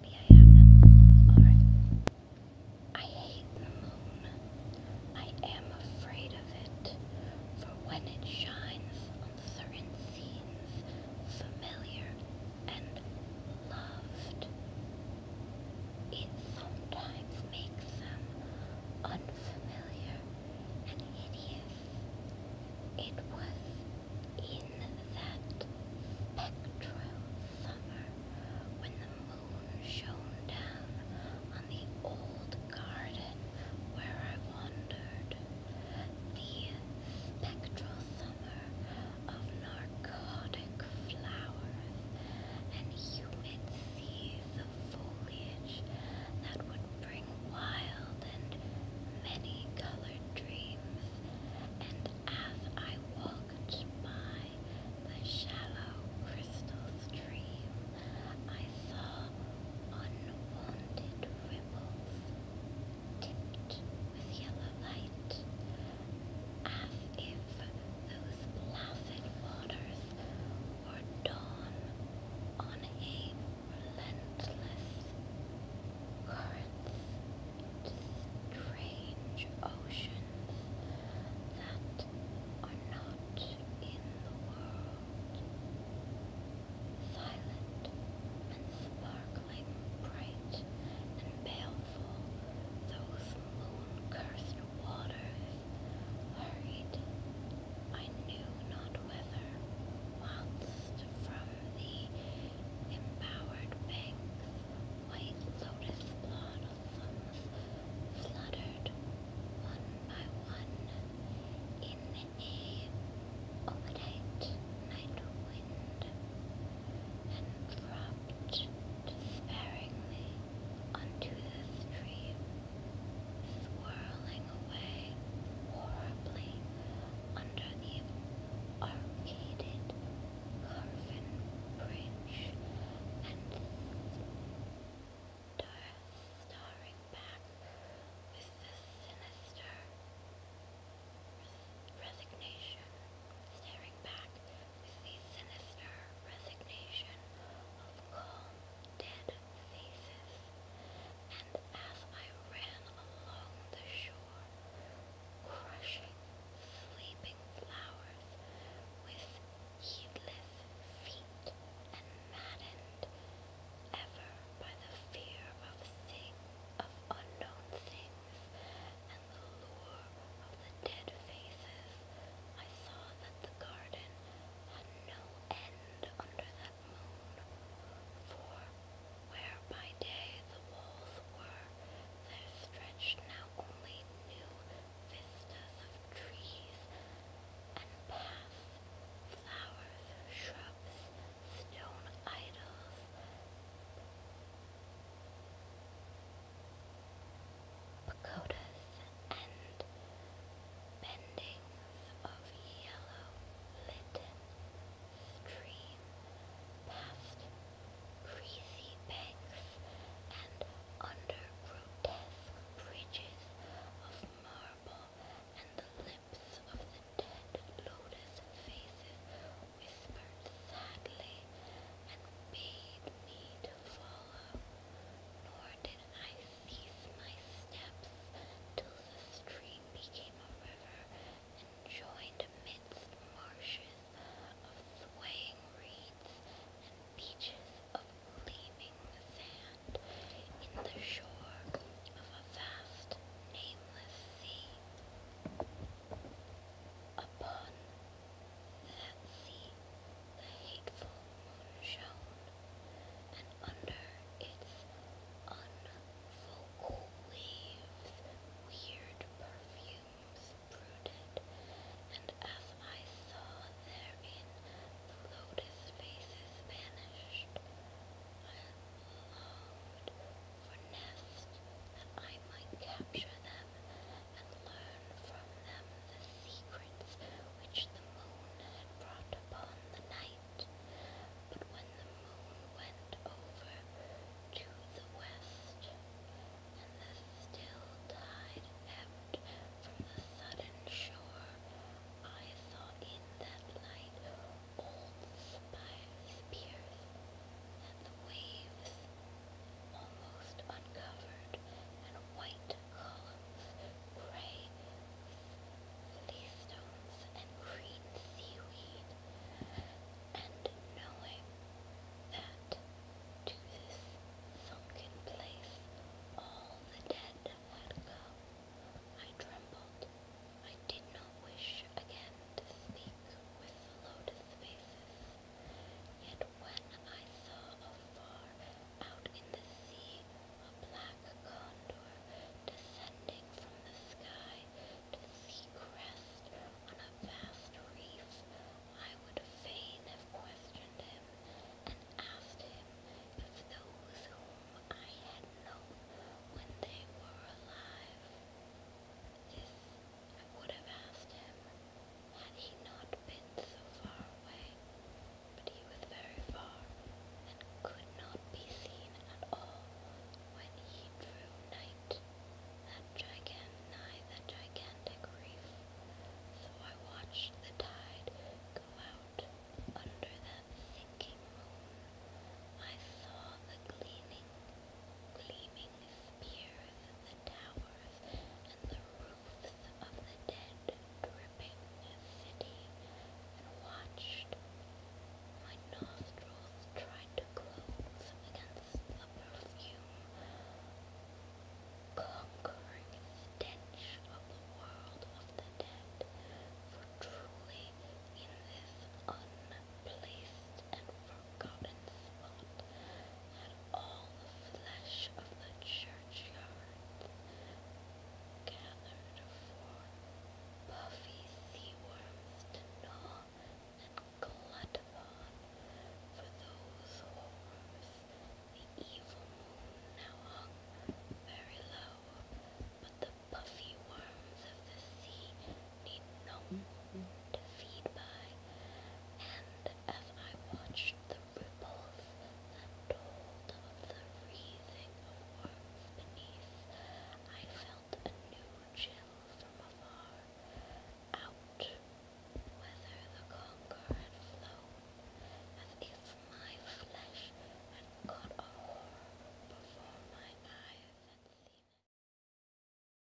I I hate the moon. I am afraid of it, for when it shines on certain scenes, familiar and loved, it sometimes makes them unfamiliar and hideous. It was in that spectral summer when the moon shone down on the old garden where I wandered. The spectral summer of narcotic flowers and humid seas of foliage that would bring wild and many colored dreams, and as I walked by the shallow crystal stream, I saw unwanted ripples tipped with yellow light, as if those placid waters were dawn on a relentless currents strange oceans that are not in the world. Silent and sparkling, bright and baleful, those moon-cursed waters hurried I knew not cold weather from the embowered banks, white lotus blossoms fluttered one by one in a overnight night wind and dropped despairingly onto the stream, swirling away horribly under the arcaded carven bridge and staring back with the sinister resignation, staring back with the sinister resignation of calm, dead faces and as I ran along the shore, crushing sleeping flowers with heedless feet and maddened ever by the fear of thing of unknown things and the lure of the dead faces, I saw that the garden had no end under the for where by day the walls were, there stretched now only new vistas of trees and paths, flowers, shrubs, stone idols. Pagodas and bending of yellow litten stream past breezy banks and under grotesque bridges of marble and the lips of the dead lotus faces whispered sadly and bade me to follow, nor did ceased my steps till the stream became a river and joined amidst marshes of swaying reeds and beaches of gleaming sand in the shore of a vast, nameless sea. Upon that sea hateful moon shone, and under its unfocal waves weird perfumes brooded, and as I saw therein the lotus faces vanished, I longed for nests that I might capture them and learn from them the secrets which the moon had brought upon the night. But when the moon went over to the west, and the still tide ebbed from the southern shore, I saw in that light old spires pierce that the waves almost uncovered and white columns of grey with leastones and green seaweed, and knowing that to this sunken place all the dead had come, I trembled. I did not wish again to speak with the lotus faces, yet when I saw afar out in the sea a black condor descending from the sky to sea crest on a vast reef, I would fain have questioned him and asked him if those whom I had known when they were alive. This I would have asked him, had he not been so far away, but he was very far, and could not be seen at all when he drew nigh that gigantic reef. So I watched the tide go out under that sinking moon. I saw the gleaming, gleaming spears, the towers, and the roofs of the dead dripping city, and watched. My nostrils tried to close against the perfume, conquering stench of the world of the dead, for truly in this unplaced and forgotten spot, and all the flesh of the churchyard gathered for puffy sea worms to gnaw and glut upon. For those horrors, the evil moon now hung very low, but the puffy worms of the sea need no to feed by. And as I watched the ripples that told of the wreathing of worms beneath, I felt a new chill from afar, out whether the conqueror had as if my flesh had caught a horror before my eyes had seen it.